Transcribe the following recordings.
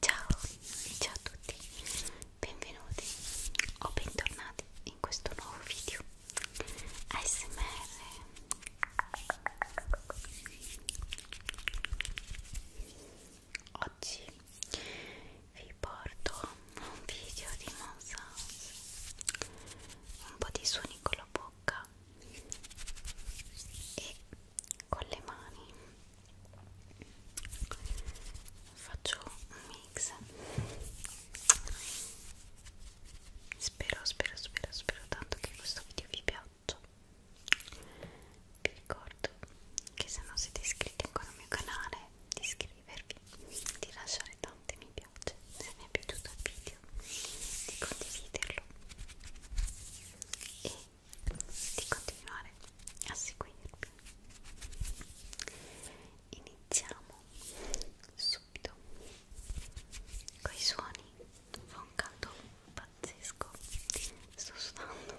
Ciao, ciao a tutti, benvenuti o bentornati in questo nuovo video ASMR Oggi vi porto un video di Monsounds un po' di suoni con la bocca e con le mani faccio un mix spero spero spero spero tanto che questo video vi piaccia vi ricordo che se non siete iscritti ancora al mio canale di iscrivervi di lasciare tante mi piace se vi è piaciuto il video di condividerlo e di continuare a seguirmi iniziamo subito coi suoni fa un caldo pazzesco sto sudando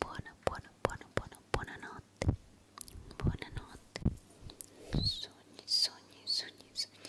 Buona, buona, buona, buona, buona notte. Buonanotte. Sogni, sogni, sogni, sogni.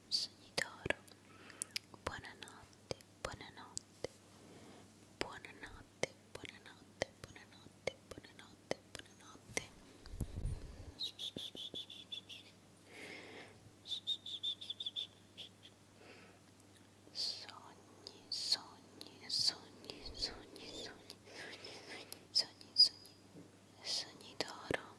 sogni d'oro. Buonanotte, buonanotte, buonanotte, buonanotte, buonanotte, buonanotte, buonanotte. Sogni, sogni, sogni, sogni, sogni, sogni, sogni, sogni, sogni d'oro.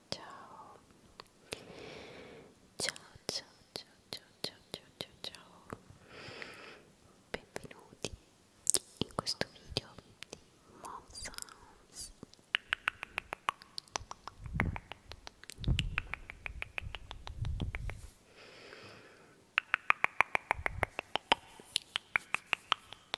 ciao ciao ciao ciao ciao ciao ciao ciao ciao benvenuti in questo video di Mom Sounds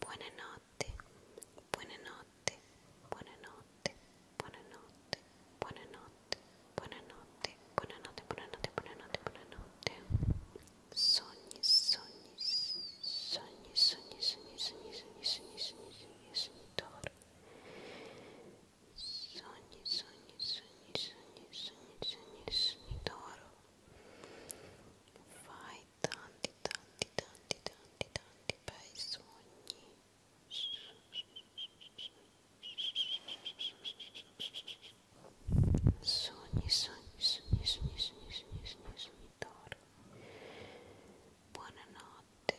buonanotte, buonanotte, buonanotte, buonanotte, buonanotte, buonanotte, buonanotte, buonanotte, buonanotte, buonanotte. Sogni, sogni, sogni, sogni, sogni, sogni, sogni, sogni, sogni, sogni, sogni, d'oro. Sogni, sogni, sogni, sogni, sogni, sogni, sogni d'oro. Vai hai tanti tanti tanti tanti tanti bei sogni sogni sogni sogni sogni sogni sogni sogni sogni dormi buonanotte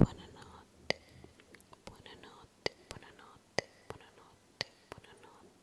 buonanotte buonanotte buonanotte buonanotte buonanotte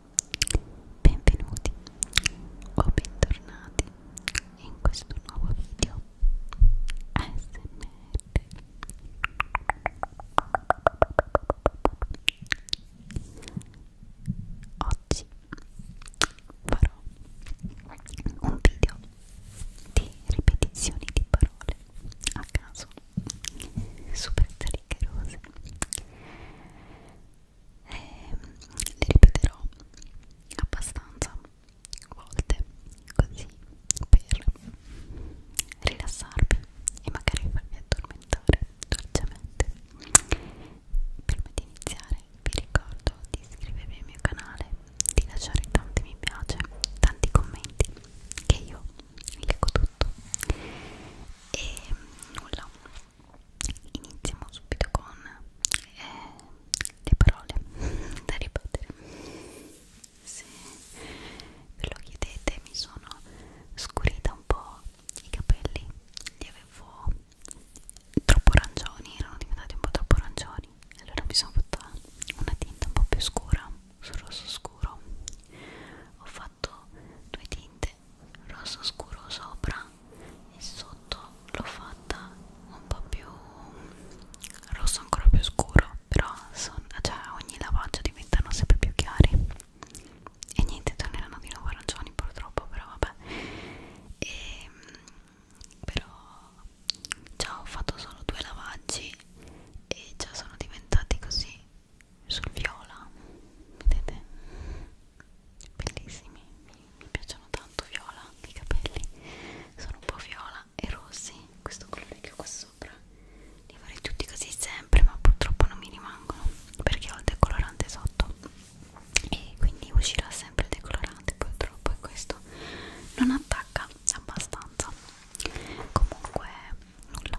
Benvenuti o bentornati in questo nuovo video ASMR Oggi farò un video di ripetizioni di parole a caso super triggerose e ehm, le ripeterò abbastanza volte così per rilassarvi e magari farvi addormentare dolcemente prima di iniziare vi ricordo di iscrivervi al mio canale di lasciare tanti mi piace tanti commenti che io leggo tutto e nulla iniziamo subito con eh, le parole da ripetere se ve lo chiedete mi sono scurita un po' i capelli li avevo troppo arancioni erano diventati un po' troppo arancioni allora mi sono fatta una tinta un po' più scura sul rosso scuro ho fatto due tinte rosso scuro sopra e sotto l'ho fatta un po' più rosso ancora più scuro però son, cioè, ogni lavaggio diventano sempre più chiari e niente torneranno di nuovo arancioni purtroppo però vabbè e, ehm, però già ho fatto solo due lavaggi e già sono diventati così sul viola vedete bellissimi mi, mi piacciono tanto viola i capelli sono un po' viola e rossi questo colore che ho qua sopra li farei tutti così sempre ma purtroppo non mi rimangono perché ho il decolorante sotto e quindi uscirà sempre il decolorante purtroppo e questo non attacca abbastanza comunque nulla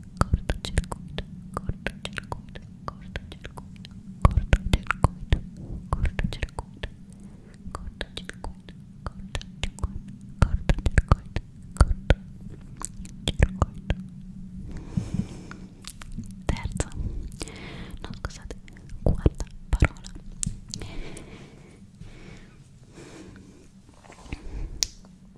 cortocircuito, cortocircuito, cortocircuito, cortocircuito, cortocircuito, cortocircuito, cortocircuito, cortocircuito, cortocircuito. Terza, no scusate, quarta parola.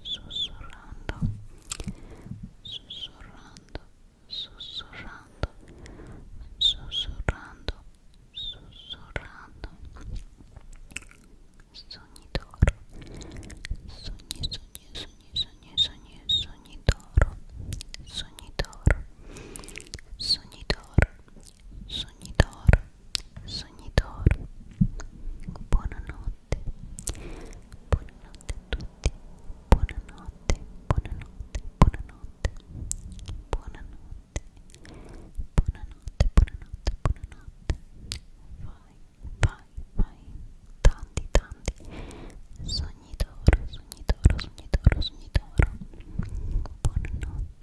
sussurrando sussurrando sussurrando sussurrando sussurrando sognitoro sogni sogni sogni sogni sogni sognitoro sognitoro sognitoro sognitoro sognitoro buonanotte buonanotte buonanotte a tutti buonanotte buonanotte buonanotte buonanotte buonanotte buonanotte buonanotte vai vai vai tanti tanti sogni d'oro sogni d'oro sogni d'oro sogni d'oro buonanotte buonanotte buonanotte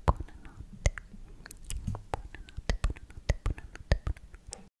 buonanotte buonanotte buonanotte